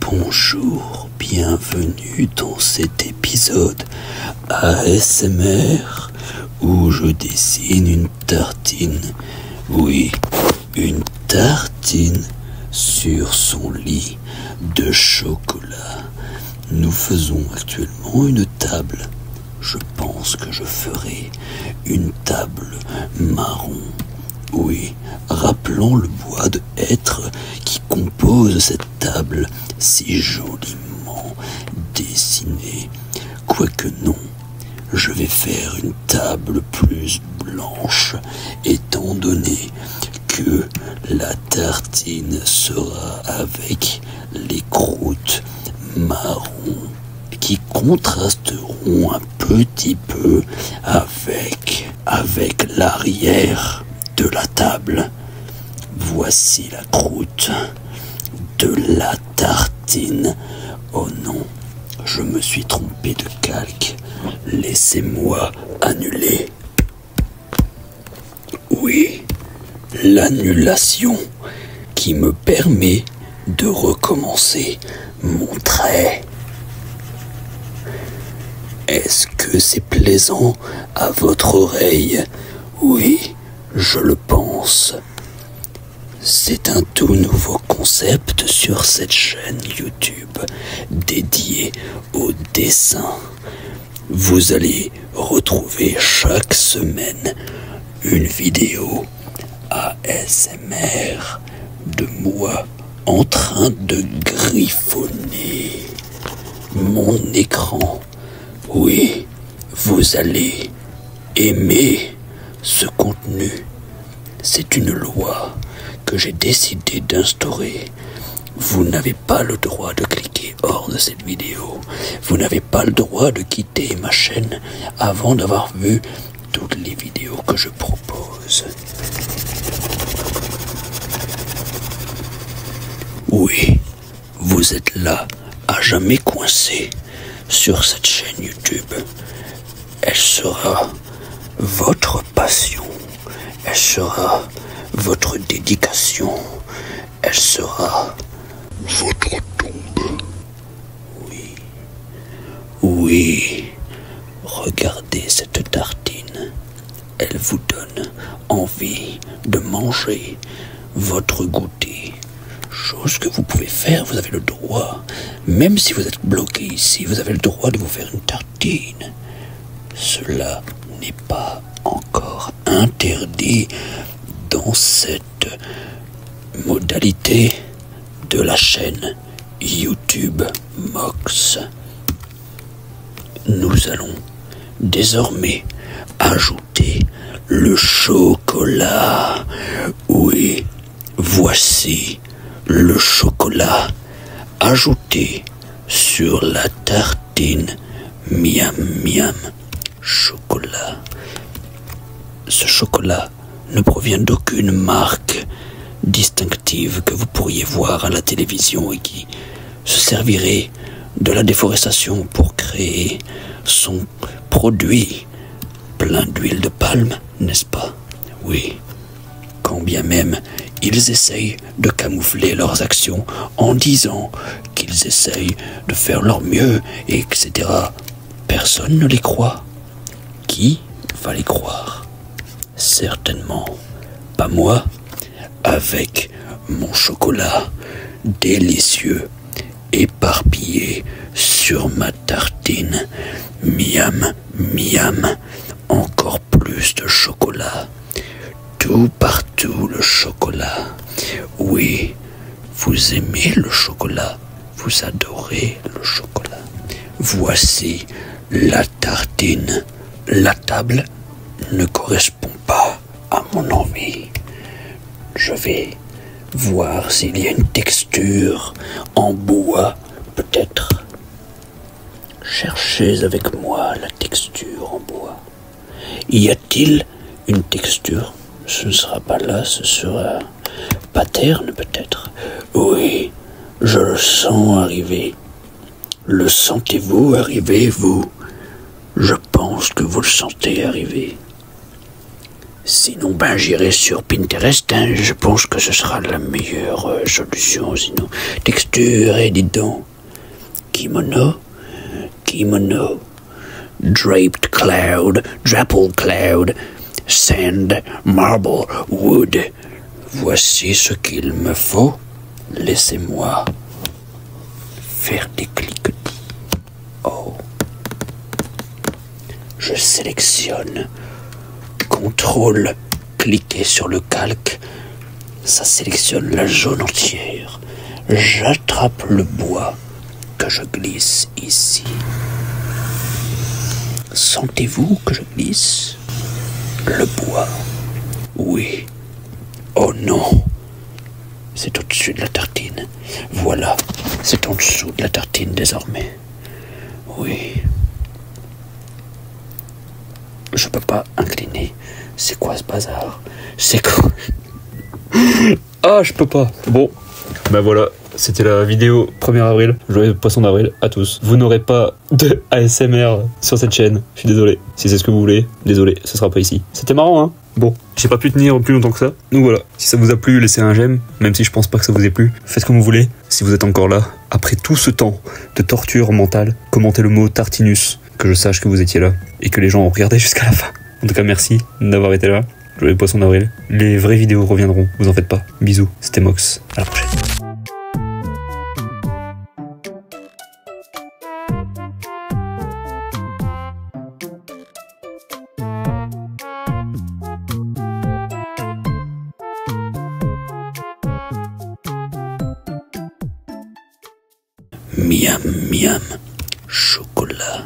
Bonjour, bienvenue dans cet épisode ASMR où je dessine une tartine, oui, une tartine sur son lit de chocolat. Nous faisons actuellement une table. Je pense que je ferai une table marron oui, rappelons le bois de hêtre qui compose cette table si joliment dessinée. Quoique non, je vais faire une table plus blanche, étant donné que la tartine sera avec les croûtes marron qui contrasteront un petit peu avec avec l'arrière de la table. Voici la croûte de la tartine. Oh non, je me suis trompé de calque. Laissez-moi annuler. Oui, l'annulation qui me permet de recommencer montrait. Est-ce que c'est plaisant à votre oreille Oui, je le pense. C'est un tout nouveau concept sur cette chaîne YouTube dédiée au dessin. Vous allez retrouver chaque semaine une vidéo ASMR de moi en train de griffonner mon écran. Oui, vous allez aimer ce contenu. C'est une loi que j'ai décidé d'instaurer. Vous n'avez pas le droit de cliquer hors de cette vidéo. Vous n'avez pas le droit de quitter ma chaîne avant d'avoir vu toutes les vidéos que je propose. Oui, vous êtes là, à jamais coincé, sur cette chaîne YouTube. Elle sera votre passion, elle sera votre dédication, elle sera votre tombe. Oui. Oui. Regardez cette tartine. Elle vous donne envie de manger votre goûter. Chose que vous pouvez faire, vous avez le droit. Même si vous êtes bloqué ici, vous avez le droit de vous faire une tartine. Cela n'est pas encore interdit dans cette modalité de la chaîne YouTube Mox. Nous allons désormais ajouter le chocolat. Oui, voici le chocolat ajouté sur la tartine miam miam chocolat. Ce chocolat ne provient d'aucune marque distinctive que vous pourriez voir à la télévision et qui se servirait de la déforestation pour créer son produit plein d'huile de palme, n'est-ce pas Oui. Quand bien même ils essayent de camoufler leurs actions en disant qu'ils essayent de faire leur mieux, etc. Personne ne les croit. Qui va croire Certainement pas moi, avec mon chocolat délicieux éparpillé sur ma tartine. Miam, miam, encore plus de chocolat. Tout partout le chocolat. Oui, vous aimez le chocolat vous adorez le chocolat. Voici la tartine. La table ne correspond pas à mon envie. Je vais voir s'il y a une texture en bois, peut-être. Cherchez avec moi la texture en bois. Y a-t-il une texture ce ne sera pas là, ce sera paterne peut-être. Oui, je le sens arriver. Le sentez-vous arriver, vous Je pense que vous le sentez arriver. Sinon, ben j'irai sur Pinterest, hein. je pense que ce sera la meilleure euh, solution. Sinon, texture et dis donc. Kimono, kimono, draped cloud, drapple cloud sand, marble, wood. Voici ce qu'il me faut. Laissez-moi faire des clics, Oh. Je sélectionne. Contrôle. Cliquez sur le calque. Ça sélectionne la jaune entière. J'attrape le bois que je glisse ici. Sentez-vous que je glisse Le bois. Oui. Oh non. C'est au-dessus de la tartine. Voilà. C'est en dessous de la tartine désormais. Oui. Je peux pas incliner. C'est quoi ce bazar C'est quoi ah, je peux pas. Bon, ben voilà, c'était la vidéo 1er avril. le poisson d'avril à tous. Vous n'aurez pas de ASMR sur cette chaîne. Je suis désolé. Si c'est ce que vous voulez, désolé, ce sera pas ici. C'était marrant, hein Bon, j'ai pas pu tenir plus longtemps que ça. Donc voilà, si ça vous a plu, laissez un j'aime, même si je pense pas que ça vous ait plu. Faites comme vous voulez. Si vous êtes encore là, après tout ce temps de torture mentale, commentez le mot tartinus, que je sache que vous étiez là, et que les gens ont regardé jusqu'à la fin. En tout cas, merci d'avoir été là général. Je d'avril. Les vraies vidéos reviendront, vous en faites pas. Bisous, c'était Mox. À la prochaine. Miam, miam, chocolat.